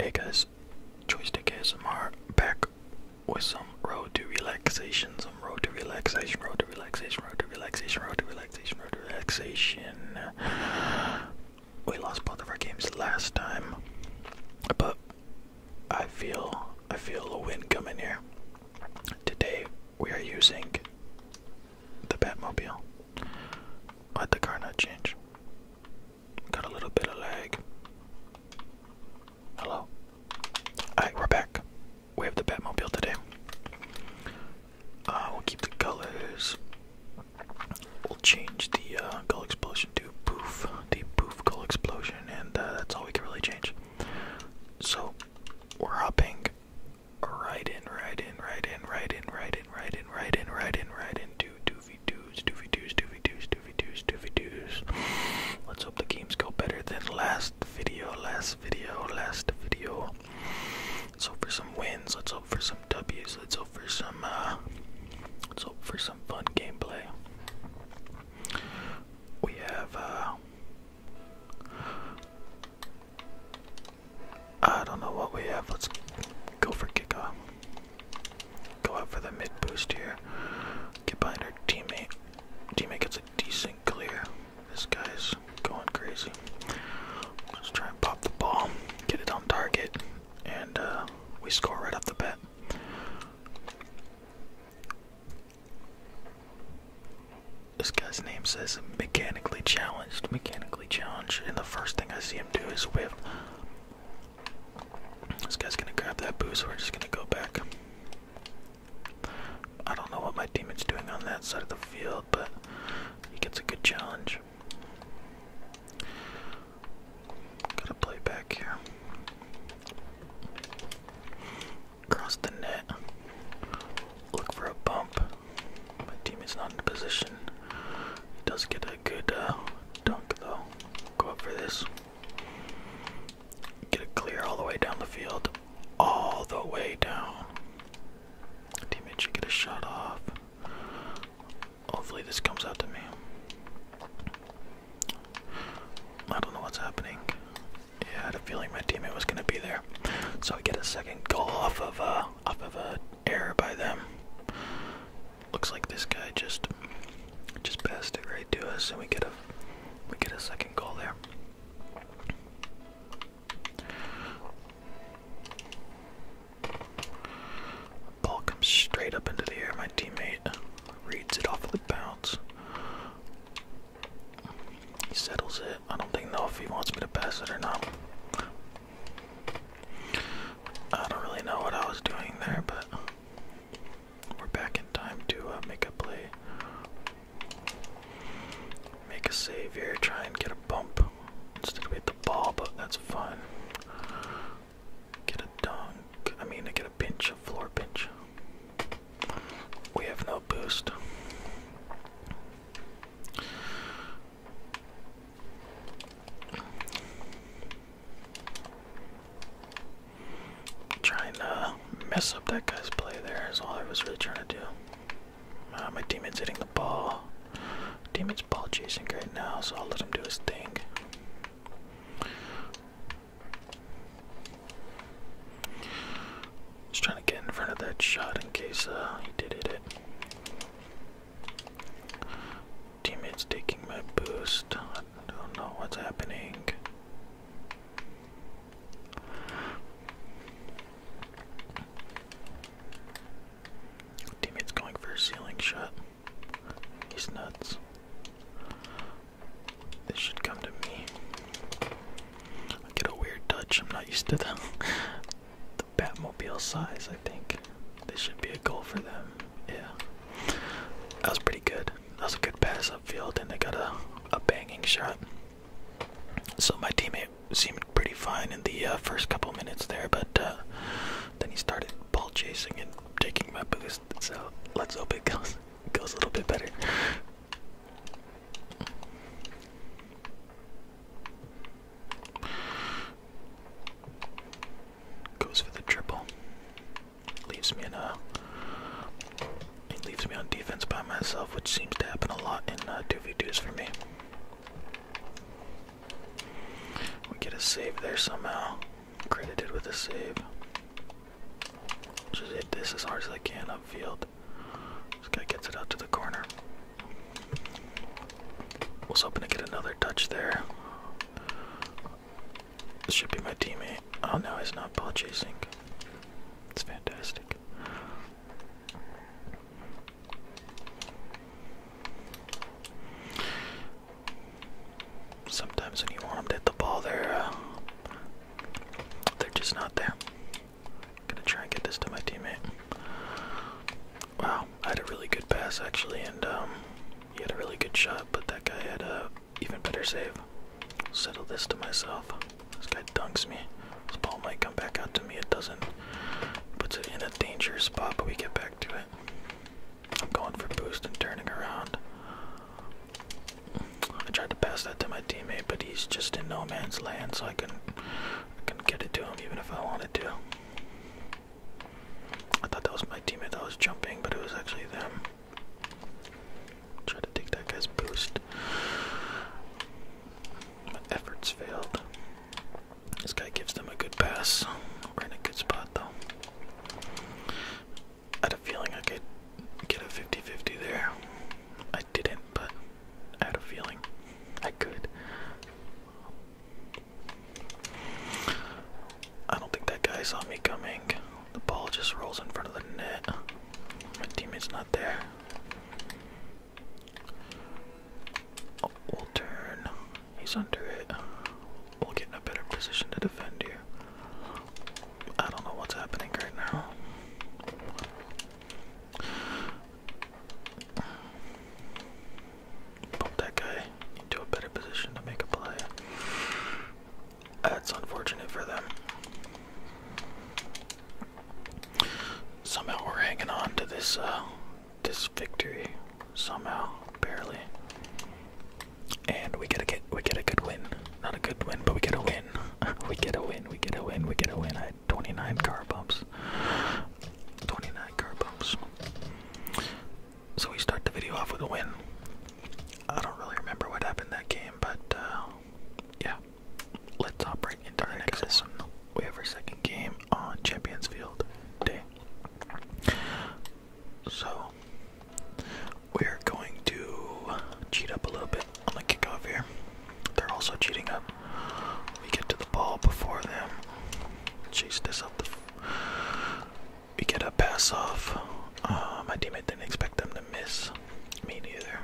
Hey guys, Joystick ASMR back with some road to relaxation, some road to relaxation, road to relaxation, road to relaxation, road to relaxation, road to relaxation. We lost both of our games last time, but I feel I feel a win coming here. Today we are using the Batmobile. Let the car not change. Got a little bit of lag. Hello. Alright, we're back. We have the Batmobile today. Uh, we'll keep the colors. We'll change the uh, gull explosion to poof, the poof gull explosion, and uh, that's all we can really change. So, we're hopping right in, right in, right in, right in, right in, right in, right in, right in, right into to 2v2s, 2v2s, Let's hope the games go better than last video, last video, last video. Let's hope for some wins, let's hope for some W's, let's hope for some, uh, let's hope for some fun gameplay. We have, uh, I don't know what we have. Let's go for kickoff. Go out for the mid boost here. Get behind our teammate. Teammate gets a decent clear. This guy's going crazy. Let's try and pop the ball, get it on target, and uh, we score right off the bat. This guy's name says mechanically challenged. Mechanically challenged, and the first thing I see do his whip. This guy's gonna grab that so We're just gonna go back. I don't know what my is doing on that side of the field, but he gets a good challenge. Gotta play back here. Cross the net. Look for a bump. My team is not in position. He does get a good uh, dunk though. Go up for this. Get it clear all the way down the field. All the way down. Teammate should get a shot off. Hopefully this comes out to me. I don't know what's happening. I had a feeling my teammate was gonna be there. So I get a second goal off of a uh, off of a error by them. Looks like this guy just just passed it right to us, and we get a we get a second goal there. Ball comes straight up into the air. My teammate reads it off the bounce. He settles it. I don't think know wants me to pass it or not. I don't really know what I was doing there, but we're back in time to uh, make a play, make a save here, try and get a bump instead of hit the ball, but that's fine. Get a dunk. I mean, I get a pinch, a floor pinch. We have no boost. Trying to mess up that guy's play there is all I was really trying to do. Uh, my teammate's hitting the ball. Demon's ball chasing right now, so I'll let him do his thing. Just trying to get in front of that shot in case uh, he did hit it. Teammates taking my boost. I don't know what's happening. Teammates going for a ceiling shot. He's nuts. This should come to me. I get a weird touch. I'm not used to them. the Batmobile size, I think. This should be a goal for them. Yeah. That was pretty good. That was a good pass upfield, and they got a, a banging shot. So my teammate seemed pretty fine in the uh, first couple minutes there, but uh, then he started ball chasing and taking my boost. So let's hope it goes goes a little bit better. Goes for the triple. Leaves me in a. leaves me on defense by myself, which seems to happen a lot in uh, 2v2s for me. We get a save there somehow. Credited with a save. Just hit this as hard as I can upfield. This guy gets it out to the corner. Was hoping to get another touch there. This should be my teammate. Oh no, he's not ball chasing. It's fantastic. Sometimes when you want them to hit the ball, they uh, they're just not there. Gonna try and get this to my teammate. Wow, I had a really good pass actually, and um, he had a really good shot, but that guy had a even better save. Settle this to myself. This guy dunks me. This ball might come back out to me. It doesn't. Puts it in a dangerous spot, but we get back to it. I'm going for boost and turning around. I tried to pass that to my teammate, but he's just in no man's land, so I can. I couldn't get it to him even if I wanted to. I thought that was my teammate that was jumping, but it was actually them. Try to take that guy's boost. My efforts failed. This guy gives them a good pass. We're in a good spot though. I had a feeling I could get a 50 50 there. I didn't, but I had a feeling I could. I don't think that guy saw me coming. The ball just rolls in front of the net. My teammate's not there. we'll turn. He's under it. We'll get in a better position to defend you. I don't know what's happening right now. Pump that guy into a better position to make a play. That's unfortunate for them. Somehow we're hanging on to this uh, this victory. Somehow, barely. And we get a we get a good win. Not a good win, but we get a win. we get a win, we get a win, we get a win. 29 car bumps. 29 car bumps. So we start the video off with a win. I don't really remember what happened that game, but uh, yeah. Let's operate right into the right, next one. We have our second game on Champions Field Day. So we're going to cheat up a little bit on kick off here. They're also cheating up. We get to the ball before them. Chase this up. we get a pass off. Uh, my teammate didn't expect them to miss. Me neither.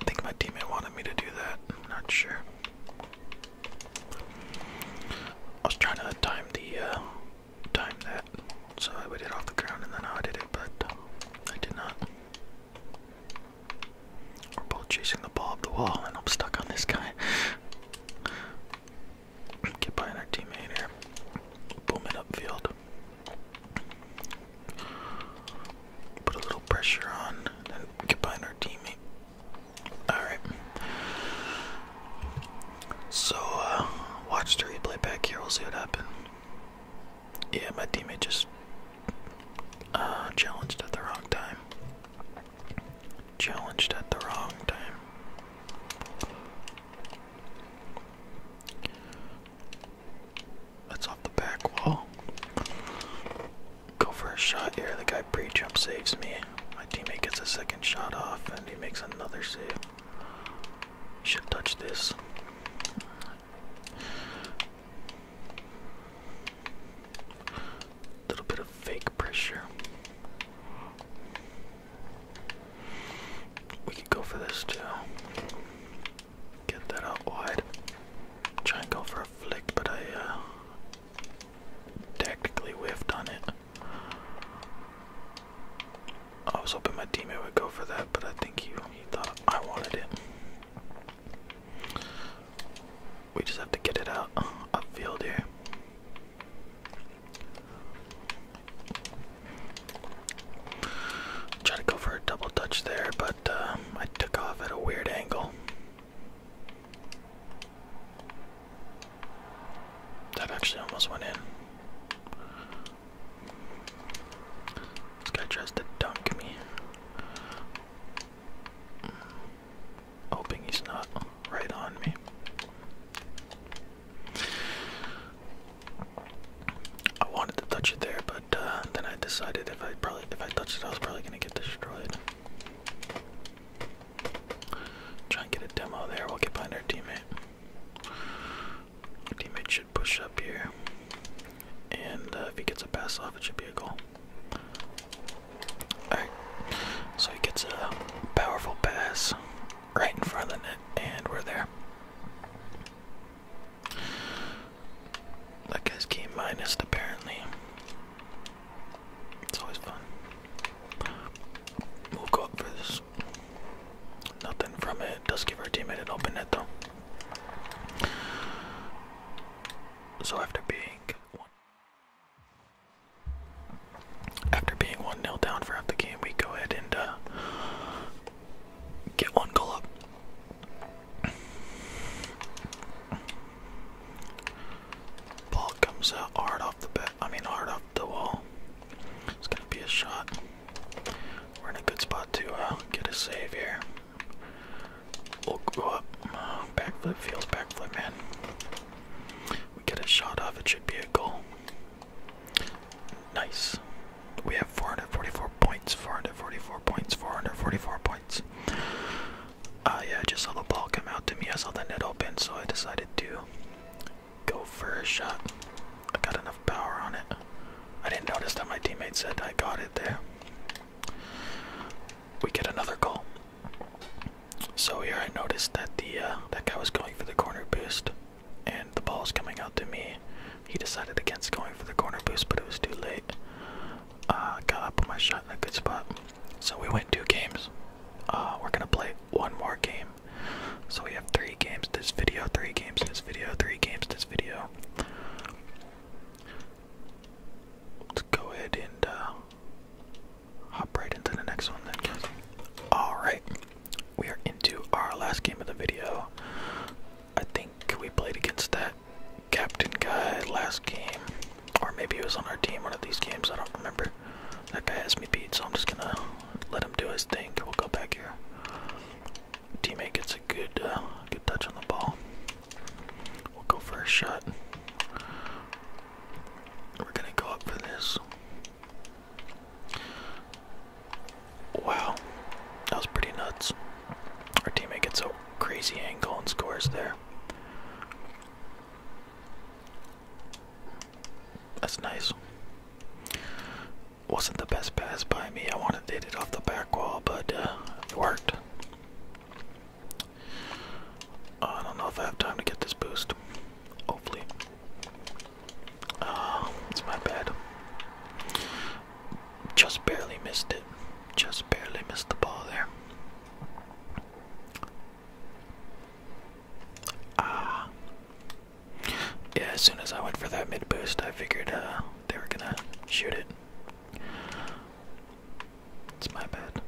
I think my teammate wanted me to do that. not sure. I was trying to time the uh, time that so I would hit off the ground and then I did it, but I did not. We're both chasing the ball up the wall, and I'm stuck on this guy. Get by our teammate here. Boom it upfield. Put a little pressure on, then get by our teammate. Alright. So, uh, watch the replay back here. We'll see what happened. Yeah, my teammate just uh, challenged at the wrong time. Challenged at the wrong time. That's off the back wall. Go for a shot here. The guy pre jump saves me. My teammate gets a second shot off and he makes another save. Should touch this. A little bit of fake pressure. We could go for this too. Get that out wide. Try and go for a flick, but I uh, technically whiffed on it. I was hoping my teammate would go for that, but I think he, he thought I wanted it. We just have to get it out uh, upfield here. Try to go for a double touch there, but um, I took off at a weird angle. That actually almost went in. This guy tries to dunk me. Hoping he's not right on me. I wanted to touch it there, but uh, then I decided if I probably if I touched it, I was probably gonna get destroyed. Try and get a demo there. We'll get behind our teammate. Teammate should push up here. And uh, if he gets a pass off, it should be a goal. Alright, so he gets a powerful pass right in front of the net, and we're there. That guy's key minus, apparently. It's always fun. We'll go up for this. Nothing from it. Does give our team an open net though. So after being one after being one 0 down throughout the game, we go ahead and uh, get one goal up. Ball comes out hard off the bat. I mean hard off the wall. It's gonna be a shot. We're in a good spot to uh, get a save here. We'll go up. Uh, backflip feels backflip, man. We get a shot off. It should be a goal. Nice. We have 444 points. 444 points. 444 points. Uh, yeah, I just saw the ball come out to me. I saw the net open, so I decided to go for a shot. I got enough power on it. I didn't notice that my teammate said I got it there. We get another goal. So here I noticed that the uh, that guy was going for the corner boost, and the ball's coming out to me. He decided against going for the corner boost, but it was too late. Uh, got up on my shot in a good spot. So we win two games. Uh, we're gonna play one more game. So we have three games this video, three games this video, three games this video. Let's go ahead and uh, hop right into the next one then, Alright, we are into our last game of the video. I think we played against that captain guy last game. Or maybe he was on our team one of these games, I don't remember. That guy has me beat, so I'm just gonna let him do his thing. We'll go back here teammate gets a good, uh, good touch on the ball. We'll go for a shot. We're gonna go up for this. Wow, that was pretty nuts. Our teammate gets a crazy angle and scores there. That's nice wasn't the best pass by me. I wanted to hit it off the back wall, but uh, it worked. I don't know if I have time to get this boost. Hopefully. Uh, it's my bad. Just barely missed it. Just barely missed the ball there. Ah. Yeah, as soon as I went for that mid boost, I figured uh, they were gonna shoot it. It's my bad.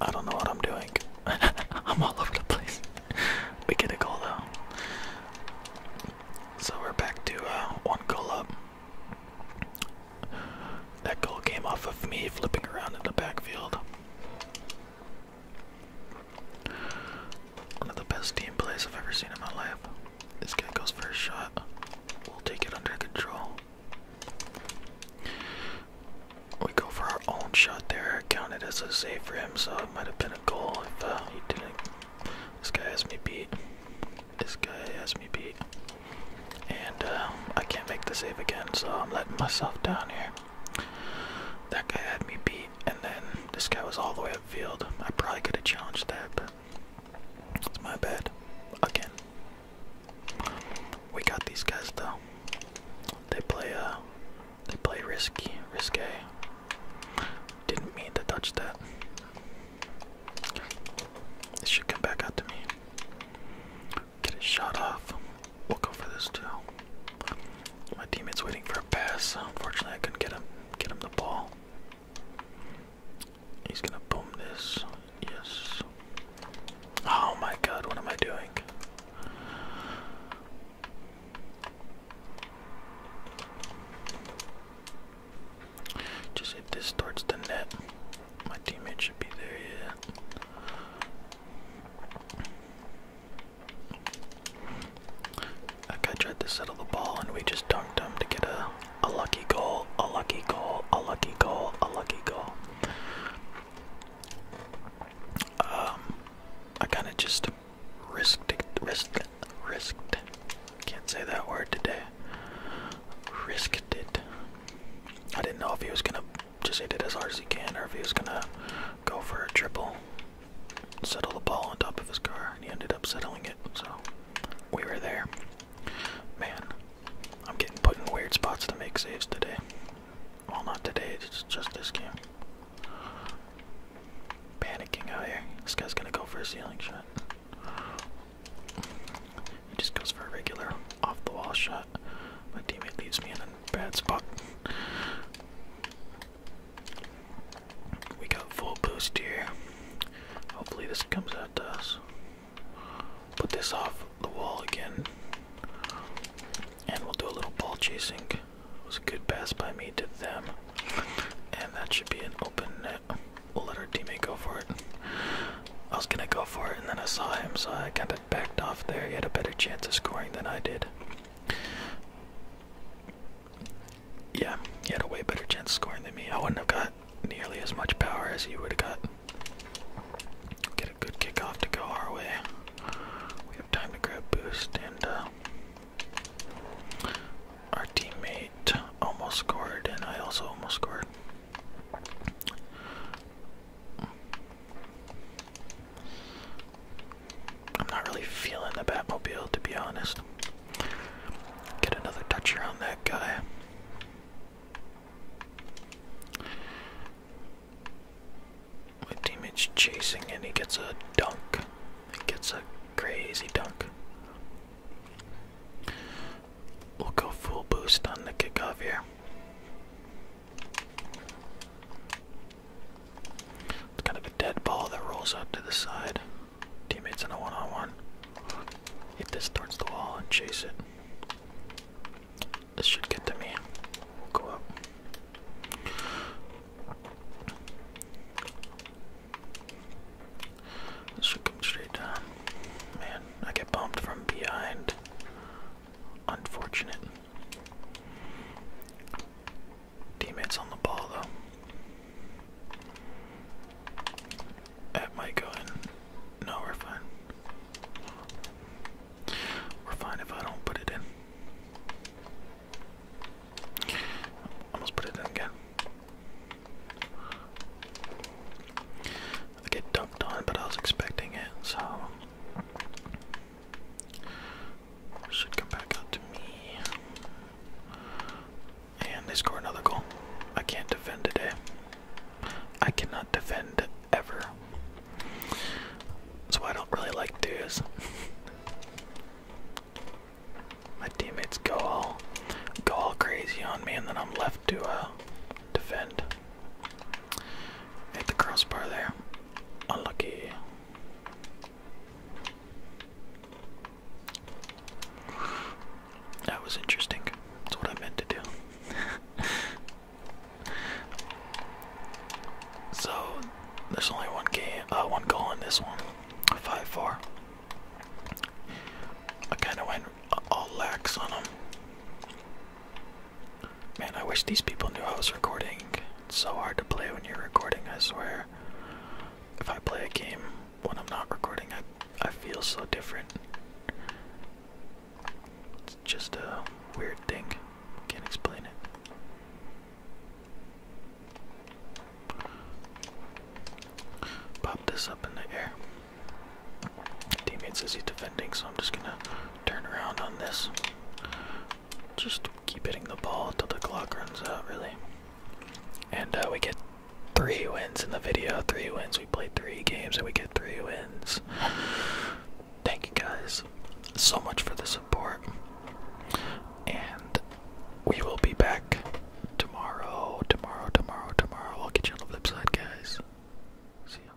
I don't know what I'm doing. I'm all over the place. we get a goal though. So we're back to uh, one goal up. That goal came off of me flipping around in the backfield. One of the best team plays I've ever seen in my life. This guy goes for a shot. We'll take it under control. We go for our own shot there. counted as a save for him, so it might have been a goal if uh, he didn't. This guy has me beat. This guy has me beat. And uh, I can't make the save again, so I'm letting myself down here. That guy had me beat and then this guy was all the way upfield. I probably could have challenged that, but it's my bad. Again, we got these guys though. They play uh, they play risky, risque. Didn't mean to touch that. This should come back out to me. Get a shot off. We'll go for this too. My teammate's waiting for a pass. Unfortunately, I couldn't get him get him the ball. He's gonna boom this. Yes. Oh my god, what am I doing? Just hit this towards the net. My teammate should be there, yeah. That guy tried to settle the ball and we just dunked him to get a, a lucky goal, a lucky goal, a lucky goal, a lucky goal. Um, I kind of just risked, it, risked, it, risked. it. Can't say that word today. Risked it. I didn't know if he was gonna just hit it as hard as he can, or if gonna go for a triple, settle the ball on top of his car, and he ended up settling it. So we were there. Man, I'm getting put in weird spots to make saves today. Well, not today, it's just this game. Panicking out here. This guy's gonna go for a ceiling shot. He just goes for a regular off the wall shot. My teammate leaves me in a bad spot. We got full boost here. Hopefully this comes out to us. Put this off the wall again. And we'll do a little ball chasing. was a good pass by me to them. And that should be an open net. We'll let our teammate go for it. I was gonna go for it and then I saw him, so I kinda backed off there. He had a better chance of scoring than I did. Yeah, he had a way better chance of scoring than me. I wouldn't have got nearly as much power as he would have got. Get a good kickoff to go our way. We have time to grab boost, and uh, our teammate almost scored, and I also almost scored. I'm not really feeling the Batmobile to be honest. Get another toucher on that guy. My teammate's chasing and he gets a dunk. He gets a crazy dunk. We'll go full boost on the kickoff here. It's kind of a dead ball that rolls up to the side. Teammates in a one on one. Hit this towards the wall and chase it. This should get to me. We'll go up. This should come straight down. Man, I get bumped from behind. Unfortunate. Teammates on the ball though. That might go in. No, we're fine. We're fine if I don't put it in. Almost put it in again. I get dunked on, but I was expecting it, so should come back out to me. And they score another goal. I can't defend today. I cannot defend ever. That's why I don't really like dudes. My teammates go all go all crazy on me and then I'm left to uh, defend. Hit the crossbar there. Unlucky. That was interesting. That's what I meant to do. so there's only one game, uh, one goal in this one. Five four. I kind of went all lax on him. Man, I wish these people knew I was recording. It's so hard to play when you're recording, I swear. If I play a game when I'm not recording, I, I feel so different. It's just a weird thing. Can't explain it. Pop this up in the air. Teammates is he defending, so I'm just gonna turn around on this. Just keep hitting the ball until the clock runs out, really. And uh, we get three wins in the video. Three wins. We played three games and we get three wins. Thank you guys so much for the support. And we will be back tomorrow. Tomorrow, tomorrow, tomorrow. I'll get you on the flip side, guys. See ya.